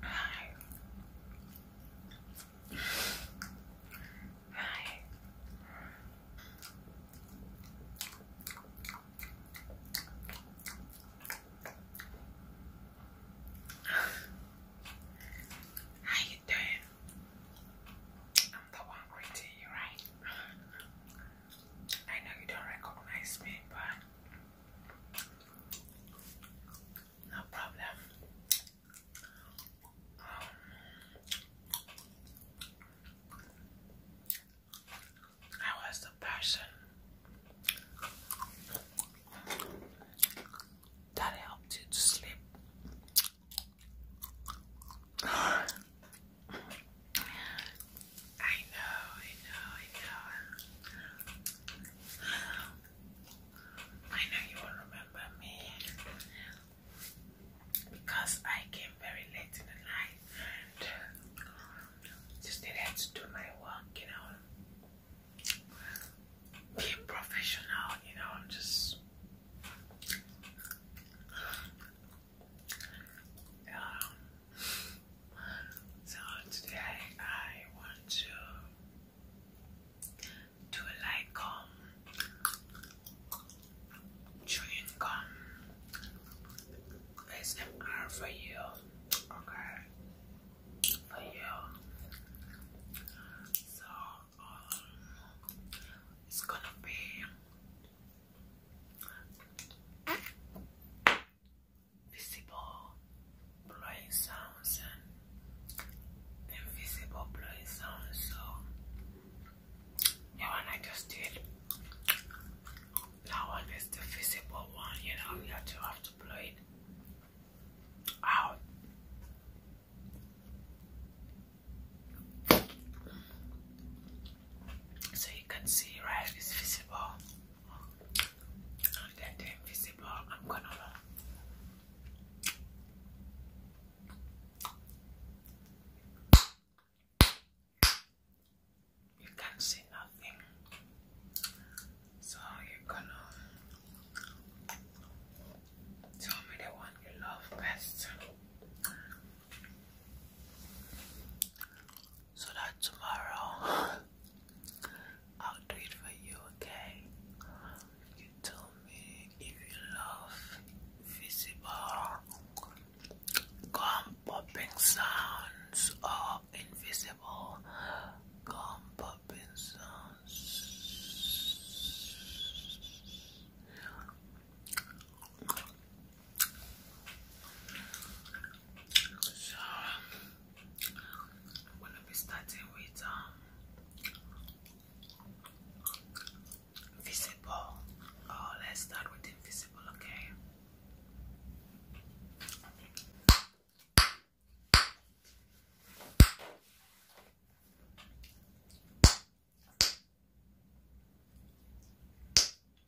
Hi. Hi. How you doing? I'm the one greeting you, right? I know you don't recognize me, but no problem. I um, was the person that helped you to sleep. I know, I know, I know. I know you will remember me because I came very late in the night and just needed to do my work, you know. Be professional, you know, I'm just um, so today I want to do like gum, chewing gum ASMR for you, okay, for you. So um, it's gonna be visible blowing sounds and invisible blowing sounds. So the one I just did, that one is the visible one. You know, you have to have to blow it out. So you can see, right? It's visible that they're invisible, I'm gonna you can't see nothing, so you gonna tell me the one you love best so that tomorrow I'll do it for you, okay? You tell me if you love visible gum popping sounds or invisible gum popping sounds. I'm going to be starting with um, visible. Oh, let's start with invisible, Okay.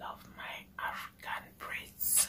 Love my African breeds.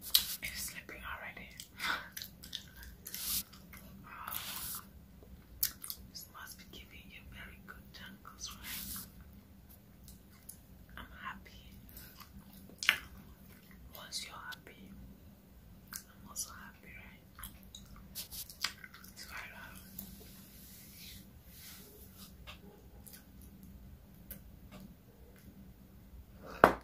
It's slipping already. This must be giving you very good tangles, right? I'm happy. Once you're happy, I'm also happy, right? It's right out.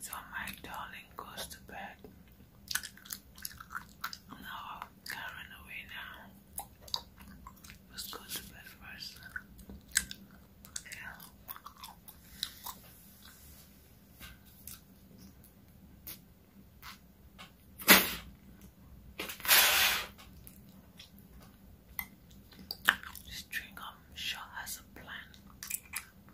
So my darling goes to bed. No, can away now. Let's go to bed first. Yeah. Um, sure has a plan.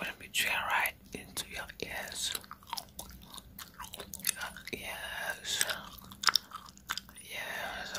When we jam right into your ears, your ears, yes,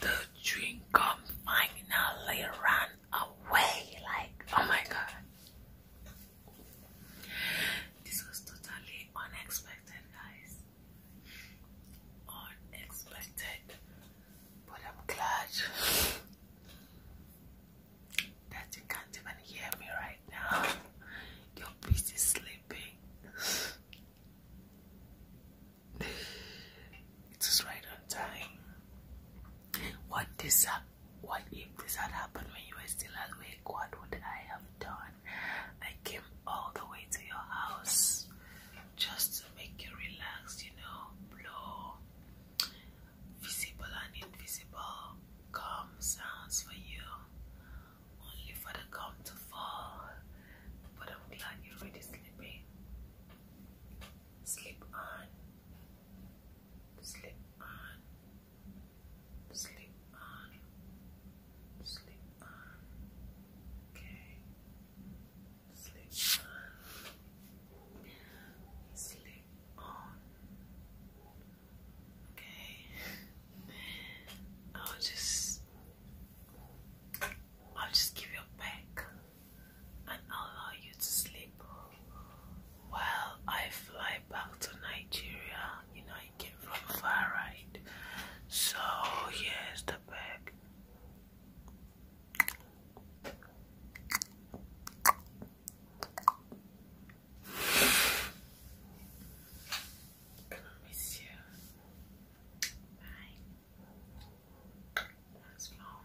the dream come finally ran away like oh my god this was totally unexpected, guys. Unexpected, but I'm glad that you can't even hear me right now. Your beast is sleeping. It is right on time. What this what if this had happened when you were still awake? What would I have done? I came all the way to your house just to make you relax, you know, blow visible and invisible calm sounds for you, only for the calm to fall. But I'm glad you're already sleeping. Sleep on, sleep on. Sleep on. Sleep on. Okay. Sleep on. Sleep on. Okay. I'll just I'll just give you a back and allow you to sleep. Well, I fly back to Nigeria. You know, I came from far right. So, here's the bag. Gonna miss you. Bye. That's long.